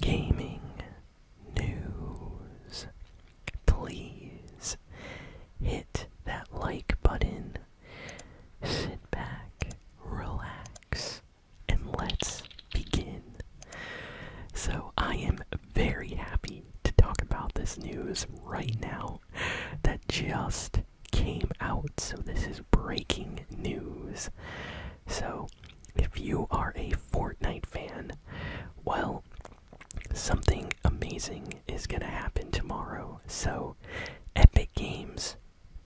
gaming news. Please hit that like button, sit back, relax, and let's begin. So, I am very happy to talk about this news right now that just came out. So, this is breaking news. So, if you are a Fortnite fan, well, something amazing is going to happen tomorrow. So, Epic Games,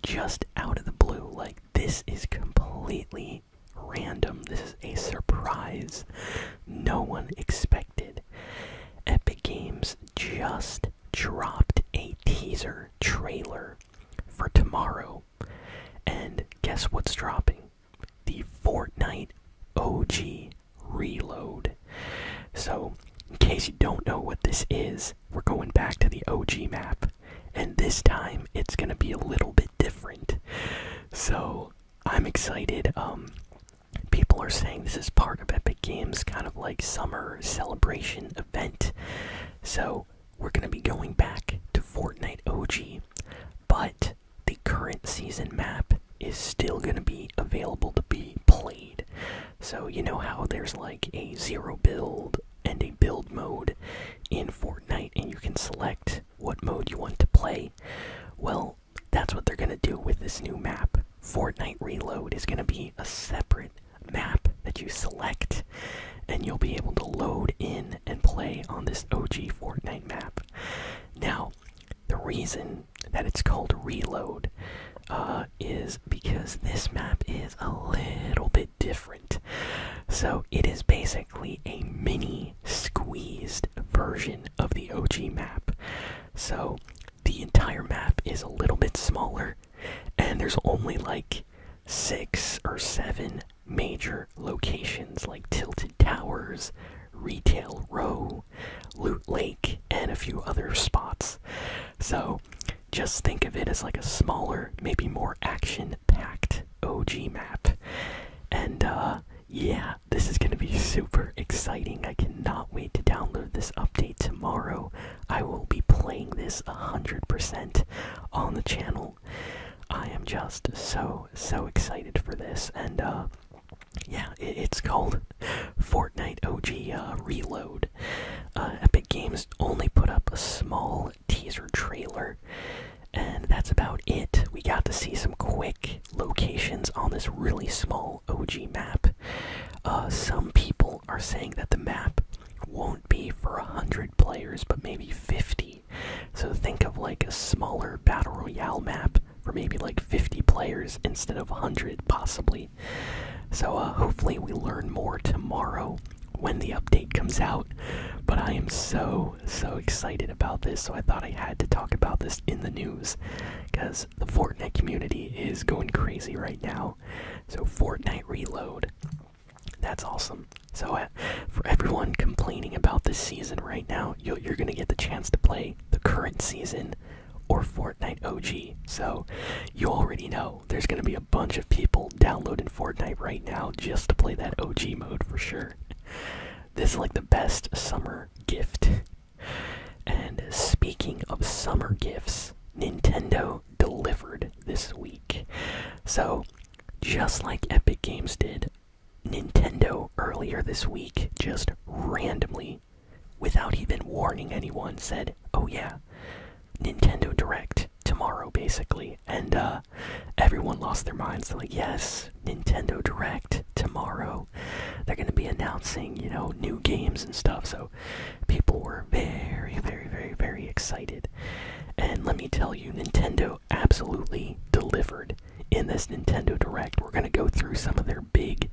just out of the blue, like this is completely random. This is a surprise no one expected. Epic Games just dropped a teaser trailer for tomorrow. And guess what's dropping? the Fortnite OG Reload. So, in case you don't know what this is, we're going back to the OG map, and this time it's gonna be a little bit different. So, I'm excited. Um, people are saying this is part of Epic Games' kind of like summer celebration event. So, we're gonna be going back to Fortnite OG, but the current season map is still going to be available to be played. So, you know how there's like a zero build and a build mode in Fortnite, and you can select what mode you want to play? Well, that's what they're going to do with this new map. Fortnite Reload is going to be a separate map that you select, and you'll be able to load in and play on this OG Fortnite map. Now, the reason that it's called Reload uh, is because this map is a little bit different. So, it is basically a mini squeezed version of the OG map. So, the entire map is a little bit smaller, and there's only like six or seven major locations like Tilted Towers, Retail Row, Loot Lake, and a few other spots. So just think of it as like a smaller, maybe more action packed OG map. And uh, yeah, this is going to be super exciting. I cannot wait to download this update tomorrow. I will be playing this 100% on the channel I am just so so excited for this, and uh, yeah, it's called Fortnite OG uh, Reload. Uh, Epic Games only put up a small teaser trailer, and that's about it. We got to see some quick locations on this really small OG map. Uh, some people are saying that the map won't be for a 100 players, but maybe 50 so think of like a smaller battle royale map for maybe like 50 players instead of 100 possibly. So uh, hopefully we learn more tomorrow when the update comes out. But I am so so excited about this, so I thought I had to talk about this in the news because the Fortnite community is going crazy right now. So Fortnite Reload. That's awesome. So, uh, for everyone complaining about this season right now, you're going to get the chance to play the current season or Fortnite OG. So, you already know there's going to be a bunch of people downloading Fortnite right now just to play that OG mode for sure. This is like the best summer gift. And speaking of summer gifts, Nintendo delivered this week. So, just like Epic Games did, Nintendo earlier this week just randomly, without even warning anyone, said, "Oh yeah, Nintendo Direct tomorrow, basically," and uh, everyone lost their minds. They're like, "Yes, Nintendo Direct tomorrow. They're gonna be announcing, you know, new games and stuff." So people were very, very, very, very excited, and let me tell you, Nintendo absolutely delivered in this Nintendo Direct, we're going to go through some of their big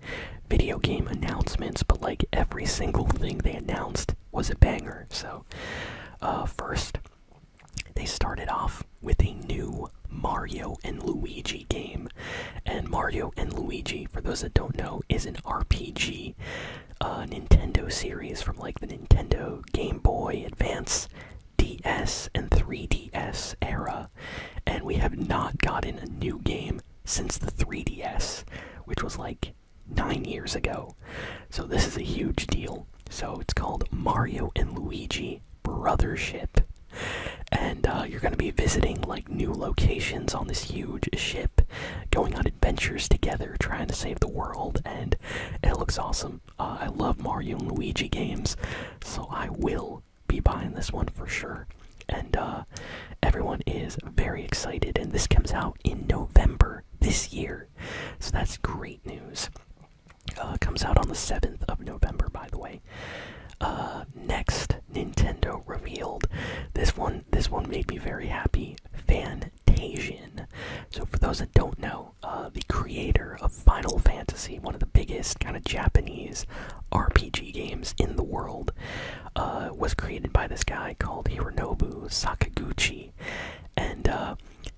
video game announcements, but like every single thing they announced was a banger. So, uh, first, they started off with a new Mario and Luigi game. And Mario and Luigi, for those that don't know, is an RPG uh, Nintendo series from like the Nintendo Game Boy Advance DS and 3DS era, and we have not gotten a new game since the 3DS, which was like nine years ago. So this is a huge deal. So it's called Mario and Luigi Brothership. And uh, you're going to be visiting like new locations on this huge ship, going on adventures together, trying to save the world, and it looks awesome. Uh, I love Mario and Luigi games, so I will be buying this one for sure. And uh, everyone is very excited, and this comes out in November this year, so that's great news. Uh, comes out on the 7th of November, by the way. next, Nintendo revealed this one. This one made me very happy. Fantasian. So for those that don't know, uh, the creator of Final Fantasy, one of the biggest kind of Japanese RPG games in the world, uh, was created by this guy called Hironobu Sakaguchi. And uh,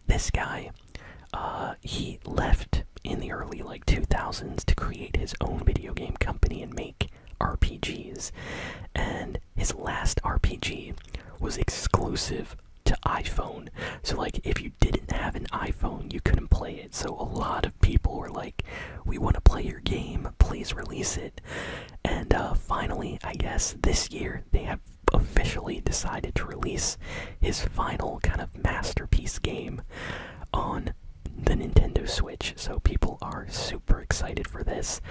this guy, he left in the early like 2000s to create his own video game company and make RPGs. And his last RPG was exclusive to iPhone. So like if you didn't have an iPhone, you couldn't play it. So a lot of people were like, "We want to play your game. Please release it." And uh, finally, I guess this year they have officially decided to release his final kind of masterpiece game on the Nintendo Switch. So people are super excited for this.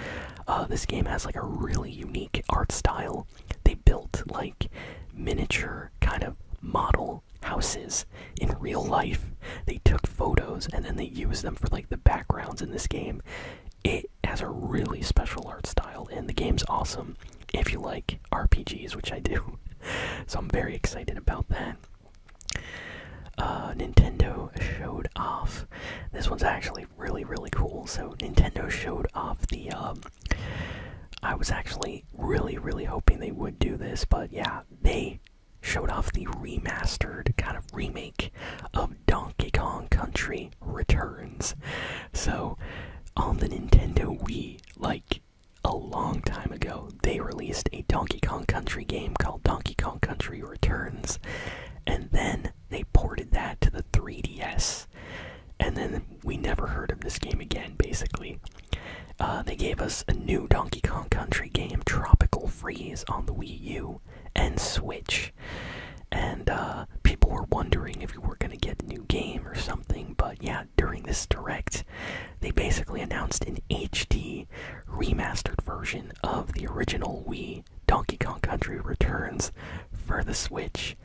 Uh, this game has like a really unique art style. They built like miniature kind of model houses in real life. They took photos and then they used them for like the backgrounds in this game. It has a really special art style, and the game's awesome if you like RPGs, which I do. so I'm very excited about that. Uh, Nintendo showed off. This one's actually really, really cool. So Nintendo showed off the um, I was actually really, really hoping they would do this, but yeah, they showed off the remastered kind of remake of Donkey Kong Country Returns. So, on the Nintendo Wii, like a long time ago, they released a Donkey Kong Country game called Donkey Kong Country Returns, and then they ported that to the 3DS. And then we never heard of this game again, basically, uh, they gave us a new Donkey Kong Country game, Tropical Freeze, on the Wii U and Switch. And uh, people were wondering if we were going to get a new game or something, but yeah, during this direct, they basically announced an HD remastered version of the original Wii Donkey Kong Country Returns for the Switch.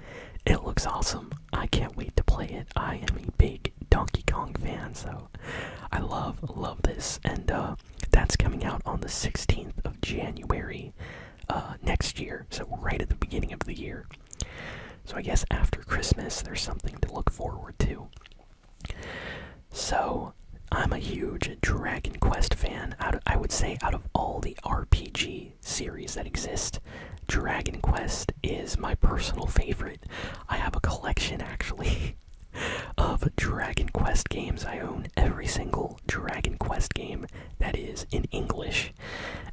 It looks awesome. I can't wait to play it. I am a big Donkey Kong fan, so I love love this, and uh, that's coming out on the 16th of January uh, next year. So right at the beginning of the year. So I guess after Christmas, there's something to look forward to. So I'm a huge Dragon Quest fan. Out I would say out of all the RPG series that exist, Dragon Quest is my personal favorite. I have a collection actually of Dragon Quest games. I own every single Dragon Quest game that is in English.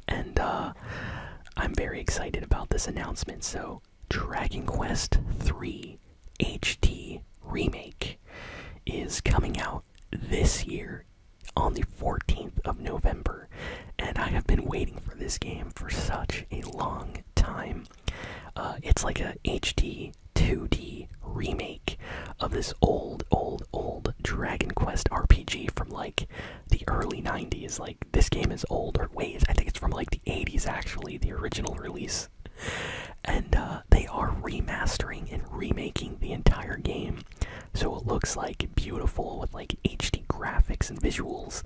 And uh, I'm very excited about this announcement. So, Dragon Quest 3 HD Remake is coming out this year on the 14th of November and I have been waiting for this game for such a long time. Uh, it's like a HD 2D remake of this old, old, old Dragon Quest RPG from like the early 90s. Like, this game is old, or wait, I think it's from like the 80s actually, the original release. And uh, they are remastering and remaking the entire game. So it looks like beautiful with like HD graphics and visuals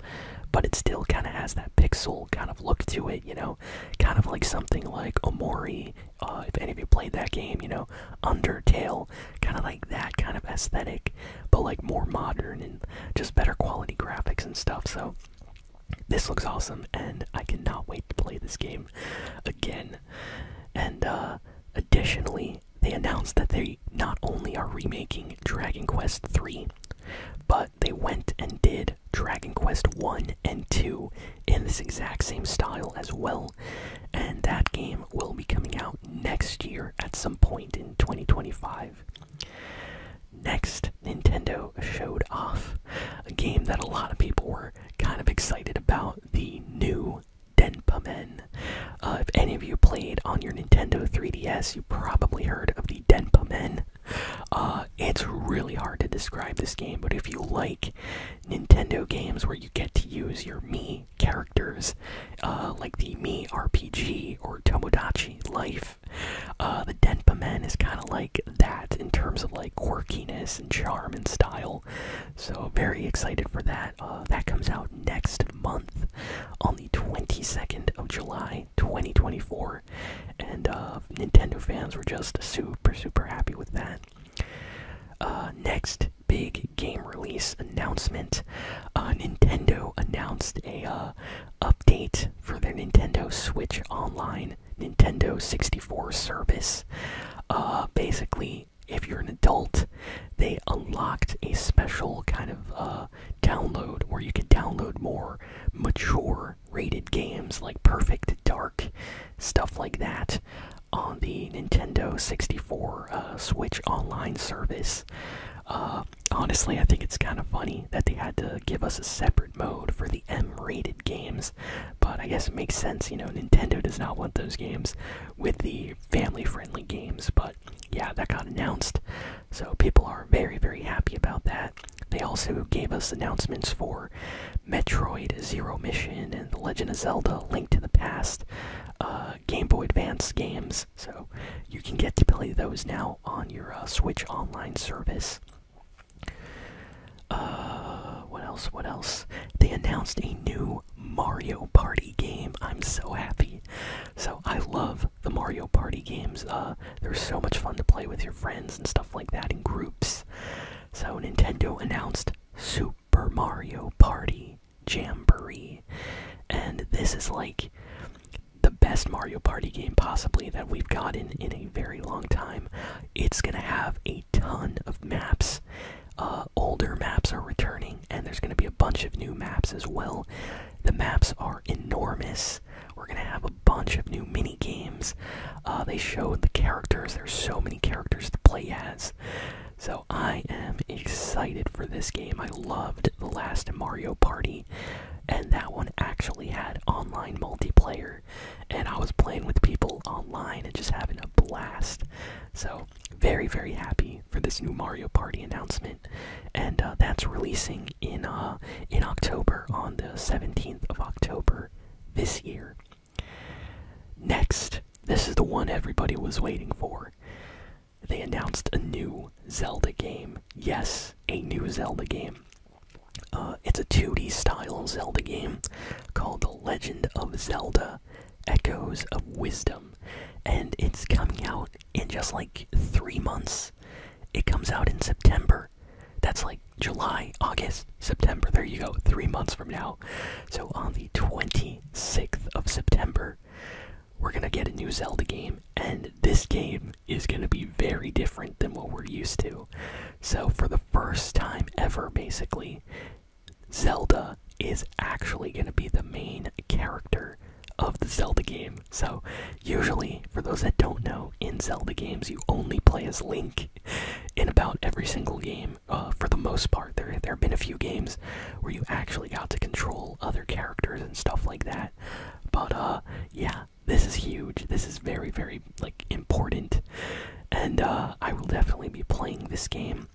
but it still kind of has that pixel kind of look to it, you know, kind of like something like Omori. Uh, if any of you played that game, you know, Undertale, kind of like that kind of aesthetic, but like more modern and just better quality graphics and stuff. So this looks awesome, and I cannot wait to play this game again. And uh, additionally, they announced that they not only are remaking Dragon Quest III, but they went and did Dragon Quest 1 and 2 in this exact same style as well. And that game will be coming out next year at some point in 2025. Next, Nintendo showed off a game that a lot of people were kind of excited about the new Denpa Men. Uh, if any of you played on your Nintendo 3DS, probably heard of the Denpa Men. Uh, it's really hard to describe this game, but if you like Nintendo games where you get to use your me characters, uh, like the me RPG or Tomodachi Life, uh, the Denpa Men is kind of like that in terms of like quirkiness and charm and style. So very excited for that. that comes out next month on the 22nd of July. 2024. And uh, Nintendo fans were just super, super happy with that. Uh, next big game release announcement uh, Nintendo announced a update for their Nintendo Switch Online Nintendo 64 service. basically, if you're an adult, they unlocked a special kind of download or you can download more mature rated games like Perfect Dark, stuff like that, on the Nintendo 64 uh, Switch Online service. Uh, honestly, I think it's kind of funny that they had to give us a separate mode for the M rated games, but I guess it makes sense, you know, Nintendo does not want those games with the family friendly games, but yeah, that got announced. So people are very, very happy about that. They also gave us announcements for Metroid Zero Mission and The Legend of Zelda linked to the Past uh, Game Boy Advance games. So you can get to play those now on your uh, Switch Online service. Uh, what else? What else? They announced a new Mario Party game. I'm so happy. So I love the Mario Party games. Uh, they're so much fun to play with your friends and stuff like that in groups. So Nintendo announced Super Mario Party Jamboree, and this is like the best Mario Party game possibly that we've got in a very long time. It's gonna have a ton of maps. Uh, older maps are returning, and there's going to be a bunch of new maps as well. The maps are enormous we're gonna have a bunch of new mini games. Uh, they showed the characters. There's so many characters to play as. So I am excited for this game. I loved the last Mario Party, and that one actually had online multiplayer, and I was playing with people online and just having a blast. So very very happy for this new Mario Party announcement and uh, that's releasing in uh, in October on the 17th of October this year. Next, this is the one everybody was waiting for. They announced a new Zelda game. Yes, a new Zelda game. Uh, it's a 2D style Zelda game called The Legend of Zelda Echoes of Wisdom, and it's coming out in just like three months. It comes out in September. That's like July, August, September. There you go, three months from now. So on the 26th of September, we're gonna get a new Zelda game, and this game is gonna be very different than what we're used to. So, for the first time ever, basically, Zelda is actually gonna be the main character of the Zelda game. So, usually, for those that don't know, in Zelda games, you only play as Link in about every single game. Uh, for the most part, there there have been a few games where you actually got to control other characters and stuff like that. But uh, yeah, this is huge. This is very very like important, and uh, I will definitely be playing this game.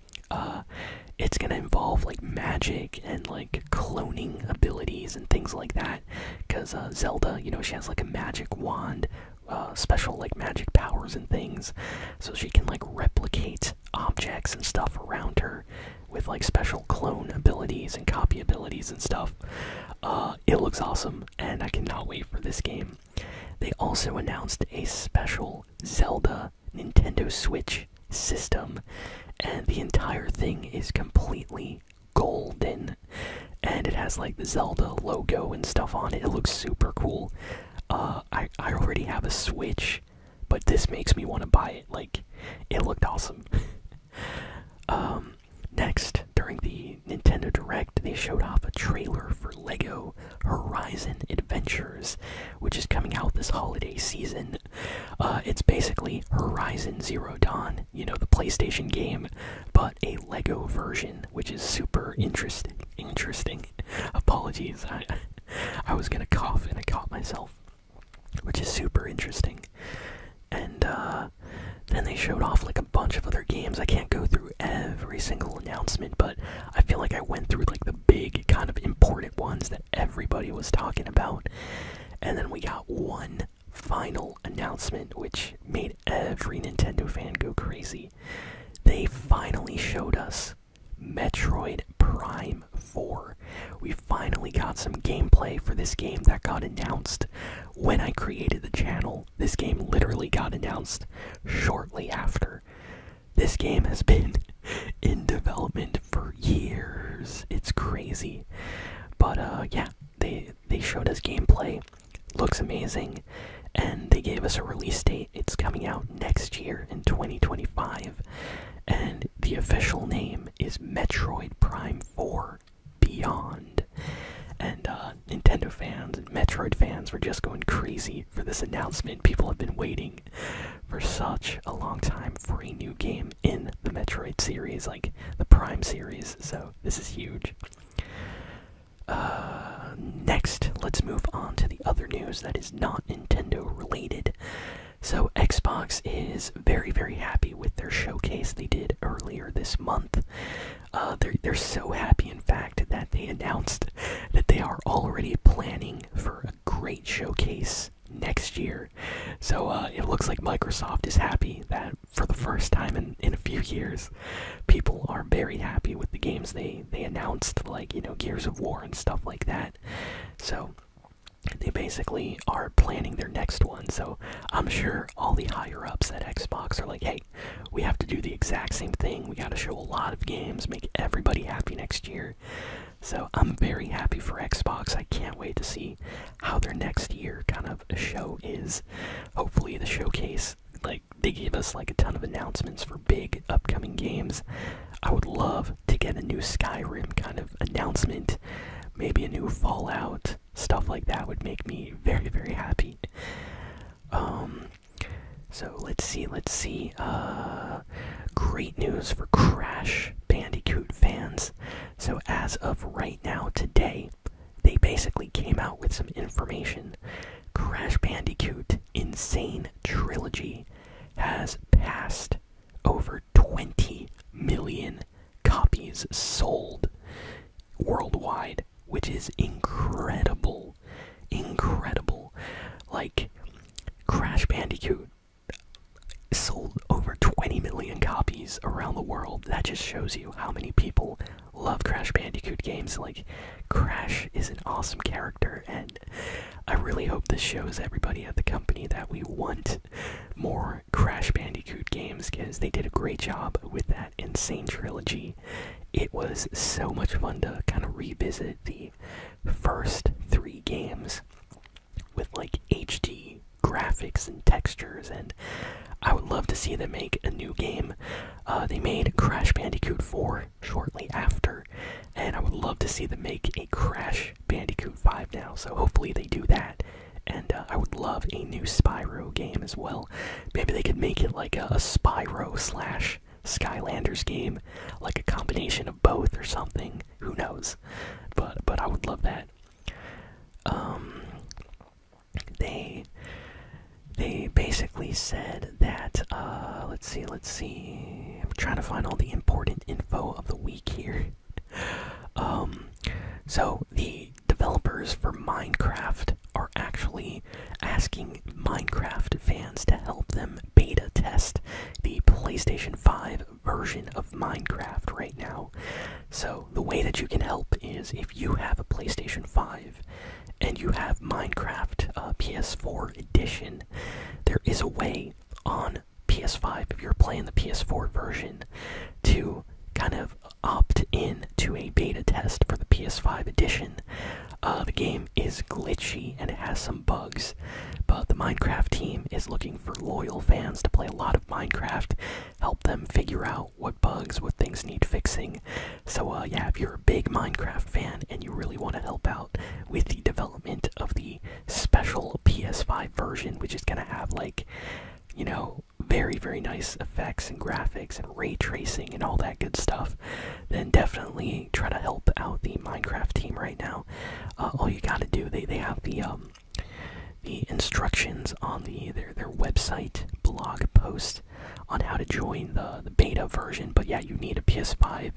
it's gonna involve like magic and like cloning abilities and things like that because uh, Zelda, you know, she has like a magic wand, uh, special like magic powers and things, so she can like replicate objects and stuff around her with like special clone abilities and copy abilities and stuff. Uh, it looks awesome, and I cannot wait for this game. They also announced a special Zelda Nintendo Switch system, and the entire thing is completely golden and it has like the Zelda logo and stuff on it. It looks super cool. Uh, I, I already have a Switch, but this makes me want to buy it. Like, it looked awesome. um, next, during the Nintendo Direct, they showed off a trailer for LEGO Horizon Adventures, which is coming out this holiday season. Uh, it's basically Horizon Zero Dawn you know, the PlayStation game, but a Lego version, which is super interesting. Interesting. Apologies, I, was gonna cough and I caught myself, which is super interesting. And uh, then they showed off like a bunch of other games. I can't go through every single announcement, but I feel like I went through like the big, kind of important ones that everybody was talking about. And then we got one final announcement, which made every Nintendo fan go crazy. They finally showed us Metroid Prime 4. We finally got some gameplay for this game that got announced when I created the channel. This game literally got announced shortly after. This game has been in development for years. It's crazy. But uh, yeah, they they showed us gameplay. Looks amazing, and they gave us a release date. It's coming out next year in 2025, and the official name is Metroid Prime 4 Beyond. And uh, Nintendo fans and Metroid fans were just going crazy for this announcement. People have been waiting for such a long time for a new game in the Metroid series, like the Prime series. So this is huge. Uh, next, let's move on to the other news that is not Nintendo related. So, Xbox is very, very happy with their showcase they did earlier this month. Uh, they're, so happy, in fact, that they announced that they are already planning for a great showcase next year. So, uh, it looks like Microsoft is happy that for the first time in, in a few years, people are very happy with the games they, they announced, like, you know, Gears of War and stuff like that. So, they basically are planning their next one. So, I'm sure all the higher ups at Xbox are like, hey, we have to do the exact same thing. We got to show a lot of games, make everybody happy next year. So, I'm very happy for Xbox. I can't wait to see how their next year kind of show is hopefully the showcase like they gave us like a ton of announcements for big upcoming games. I would love to get a new Skyrim kind of announcement, maybe a new Fallout, stuff like that would make me very very happy. Um so let's see, let's see. Uh great news for Crash Bandicoot fans. So as of right now today, they basically came out with some information. Crash Bandicoot Insane Trilogy has passed over 20 million copies sold worldwide, which is incredible. Incredible. Like, Crash Bandicoot sold over 20 million copies around the world. That just shows you how many people love Crash Bandicoot games. Like, Crash is an awesome character, and I really hope this shows everybody at the company that we want more Crash Bandicoot games because they did a great job with that insane trilogy. It was so much fun to kind of revisit the first three games with like HD graphics and textures, and I would love to see them make a new game. Uh, they made Crash Bandicoot 4 shortly after, and I would love to see them make a Crash Bandicoot 5 now, so hopefully they do that. And uh, I would love a new Spyro game as well. Maybe they could make it like a, a Spyro slash Skylanders game, like a combination of both or something. Who knows? But but I would love that. Um, they they basically said that uh, let's see let's see i'm trying to find all the important info of the week here um, so the developers for minecraft are actually asking minecraft fans to help them beta test the playstation 5 version of minecraft right now so, the way that you can help is if you have a PlayStation 5 and you have Minecraft uh, PS4 Edition, there is a way on PS5, if you're playing the PS4 version, to kind of opt in to a beta test for the PS5 edition. Uh, the game is glitchy and it has some bugs, but the Minecraft team is looking for loyal fans to play a lot of Minecraft, help them figure out what bugs, what things need fixing. So, uh, yeah, if you're a big Minecraft fan and you really want to help out with the development of the special PS5 version, which is going to have, like, you know, very, very nice effects and graphics and ray tracing and all that good stuff, then definitely try to help out the Minecraft team right now. Uh, all you got to do, they, they have the, um, the instructions on the their their website blog post on how to join the the beta version. But yeah, you need a PS5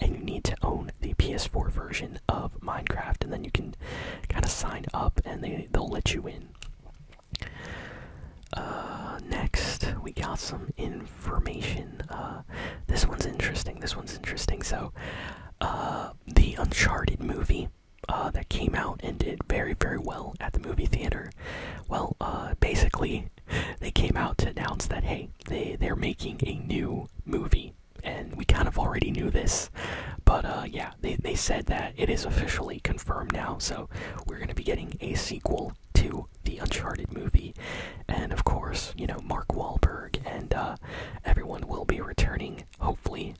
and you need to own the PS4 version of Minecraft, and then you can kind of sign up and they they'll let you in. Uh, next, we got some information. Uh, this one's interesting. This one's interesting. So, uh, the Uncharted movie uh, that came out and did very, very well at the movie theater. Well, uh, basically, they came out to announce that hey, they they're making a new movie, and we kind of already knew this, but uh, yeah, they they said that it is officially confirmed now. So we're gonna be getting a sequel to the Uncharted movie, and of course, you know, Mark Wahlberg and everyone will be returning. Hopefully,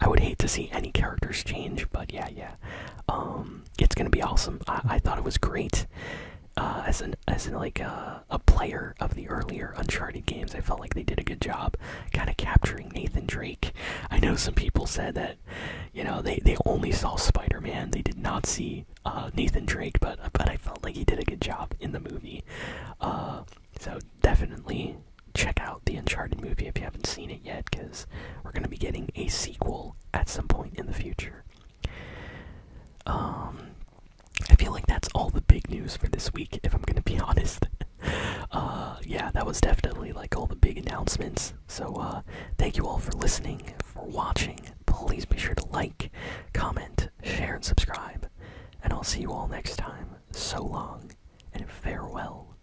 I would hate to see any characters change, but yeah, yeah, um, it's gonna be awesome. I, thought it was great uh, as an as like uh, a player of the earlier Uncharted games. I felt like they did a good job, kind of capturing Nathan Drake. I know some people said that you know they they only saw Spider-Man, they did not see uh, Nathan Drake, but but I felt like he did a good job in the movie. so definitely check out the Uncharted movie if you haven't seen it yet, because we're going to be getting a sequel at some point in the future. Um, I feel like that's all the big news for this week, if I'm going to be honest. uh, yeah, that was definitely like all the big announcements. So, uh, thank you all for listening, for watching. Please be sure to like, comment, share, and subscribe. And I'll see you all next time. So long, and farewell.